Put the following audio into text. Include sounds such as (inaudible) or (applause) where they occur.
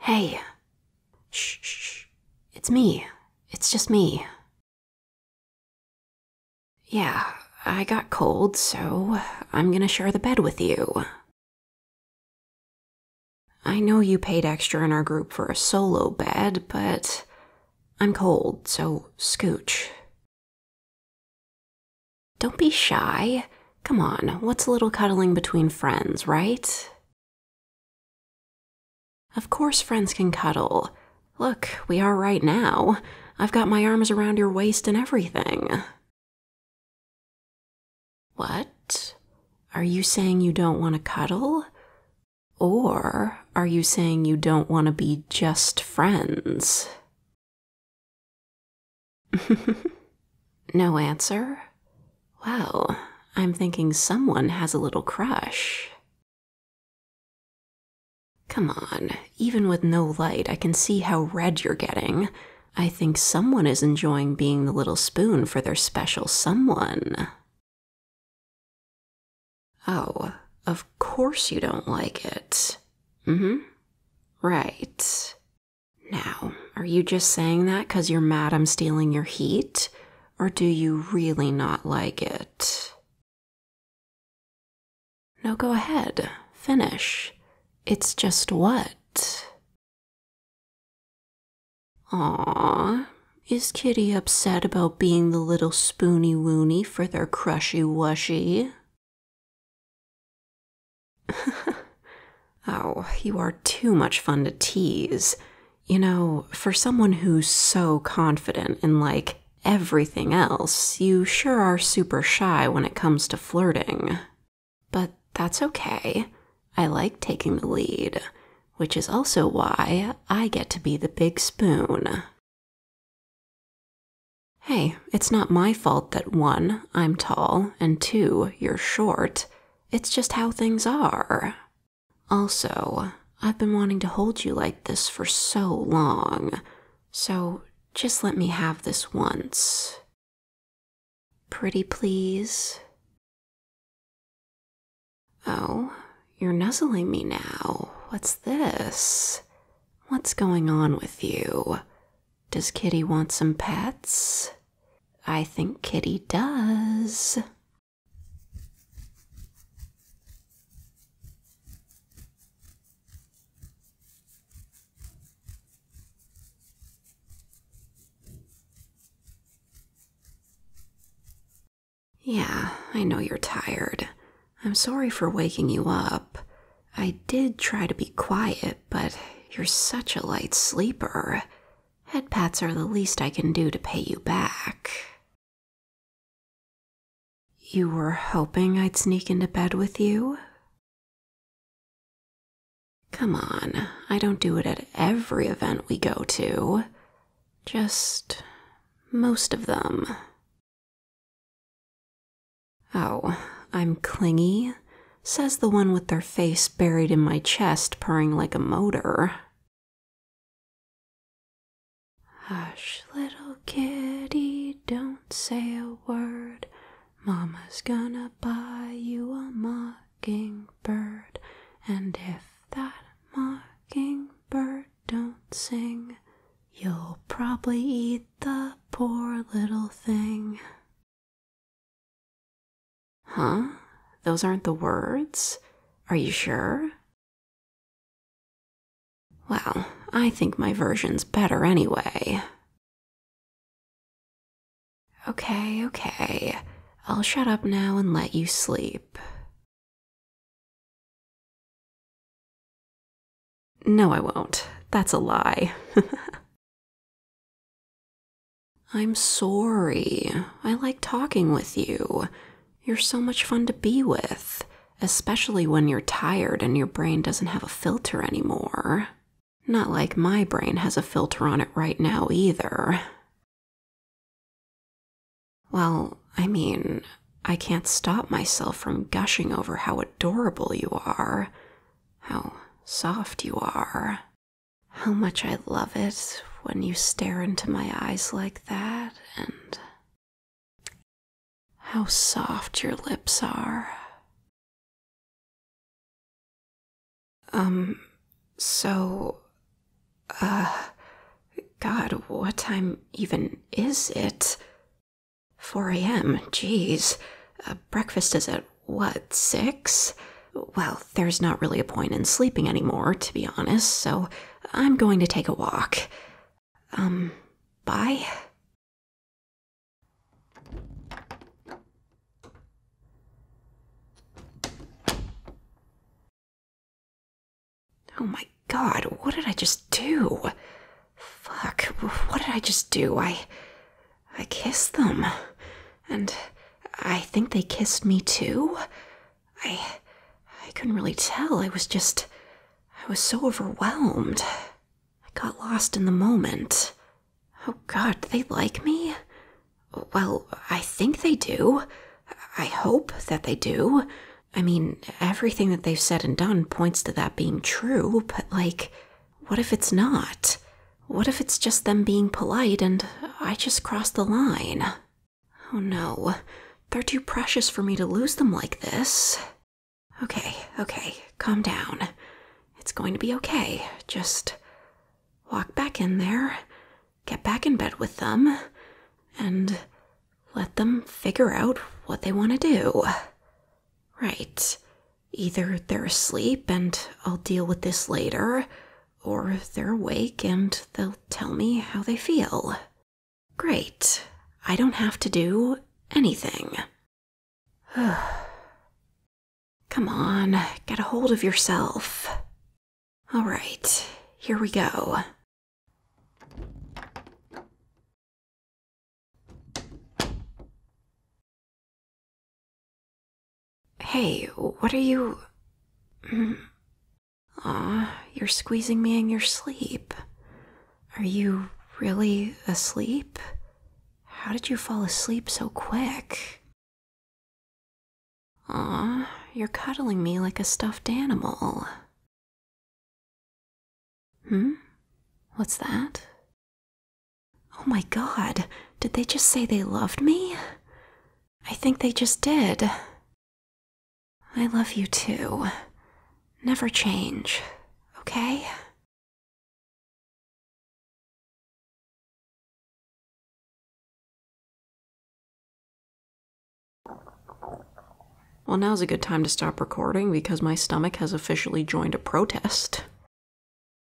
Hey. Shh, shh. It's me. It's just me. Yeah, I got cold, so I'm gonna share the bed with you. I know you paid extra in our group for a solo bed, but I'm cold, so scooch. Don't be shy. Come on, what's a little cuddling between friends, right? Of course, friends can cuddle. Look, we are right now. I've got my arms around your waist and everything. What? Are you saying you don't want to cuddle? Or are you saying you don't want to be just friends? (laughs) no answer? Well, I'm thinking someone has a little crush. Come on, even with no light, I can see how red you're getting. I think someone is enjoying being the little spoon for their special someone. Oh, of course you don't like it. Mm hmm. Right. Now, are you just saying that because you're mad I'm stealing your heat? Or do you really not like it? No, go ahead. Finish. It's just what? Aww. Is Kitty upset about being the little spoony woony for their crushy wushy? (laughs) oh, you are too much fun to tease. You know, for someone who's so confident in like everything else, you sure are super shy when it comes to flirting. But that's okay. I like taking the lead, which is also why I get to be the big spoon. Hey, it's not my fault that one, I'm tall, and two, you're short. It's just how things are. Also, I've been wanting to hold you like this for so long, so just let me have this once. Pretty please. Oh, you're nuzzling me now. What's this? What's going on with you? Does Kitty want some pets? I think Kitty does. Yeah, I know you're tired. I'm sorry for waking you up. I did try to be quiet, but you're such a light sleeper. Headpats are the least I can do to pay you back. You were hoping I'd sneak into bed with you? Come on, I don't do it at every event we go to. Just most of them. Oh, I'm clingy, says the one with their face buried in my chest, purring like a motor. Hush, little kitty, don't say a word. Mama's gonna buy you a mockingbird. And if that mockingbird don't sing, you'll probably eat the poor little thing. Huh? Those aren't the words? Are you sure? Well, I think my version's better anyway. Okay, okay. I'll shut up now and let you sleep. No, I won't. That's a lie. (laughs) I'm sorry. I like talking with you. You're so much fun to be with, especially when you're tired and your brain doesn't have a filter anymore. Not like my brain has a filter on it right now either. Well, I mean, I can't stop myself from gushing over how adorable you are, how soft you are how much I love it when you stare into my eyes like that and how soft your lips are. Um, so, uh, God, what time even is it? 4 a.m., jeez. Uh, breakfast is at what, six? Well, there's not really a point in sleeping anymore, to be honest, so I'm going to take a walk. Um, bye. Oh my god, what did I just do? Fuck, what did I just do? I. I kissed them. And I think they kissed me too. I. I couldn't really tell. I was just. I was so overwhelmed. I got lost in the moment. Oh god, do they like me? Well, I think they do. I hope that they do. I mean, everything that they've said and done points to that being true, but like, what if it's not? What if it's just them being polite and I just crossed the line? Oh no, they're too precious for me to lose them like this. Okay, okay, calm down. It's going to be okay. Just walk back in there, get back in bed with them, and let them figure out what they want to do. Right. Either they're asleep and I'll deal with this later, or they're awake and they'll tell me how they feel. Great. I don't have to do anything. (sighs) Come on, get a hold of yourself. All right, here we go. Hey, what are you. Hmm, aw, you're squeezing me in your sleep. Are you really asleep? How did you fall asleep so quick? Aw, you're cuddling me like a stuffed animal. Hmm? What's that? Oh my god, did they just say they loved me? I think they just did. I love you too. Never change, okay? Well, now's a good time to stop recording because my stomach has officially joined a protest.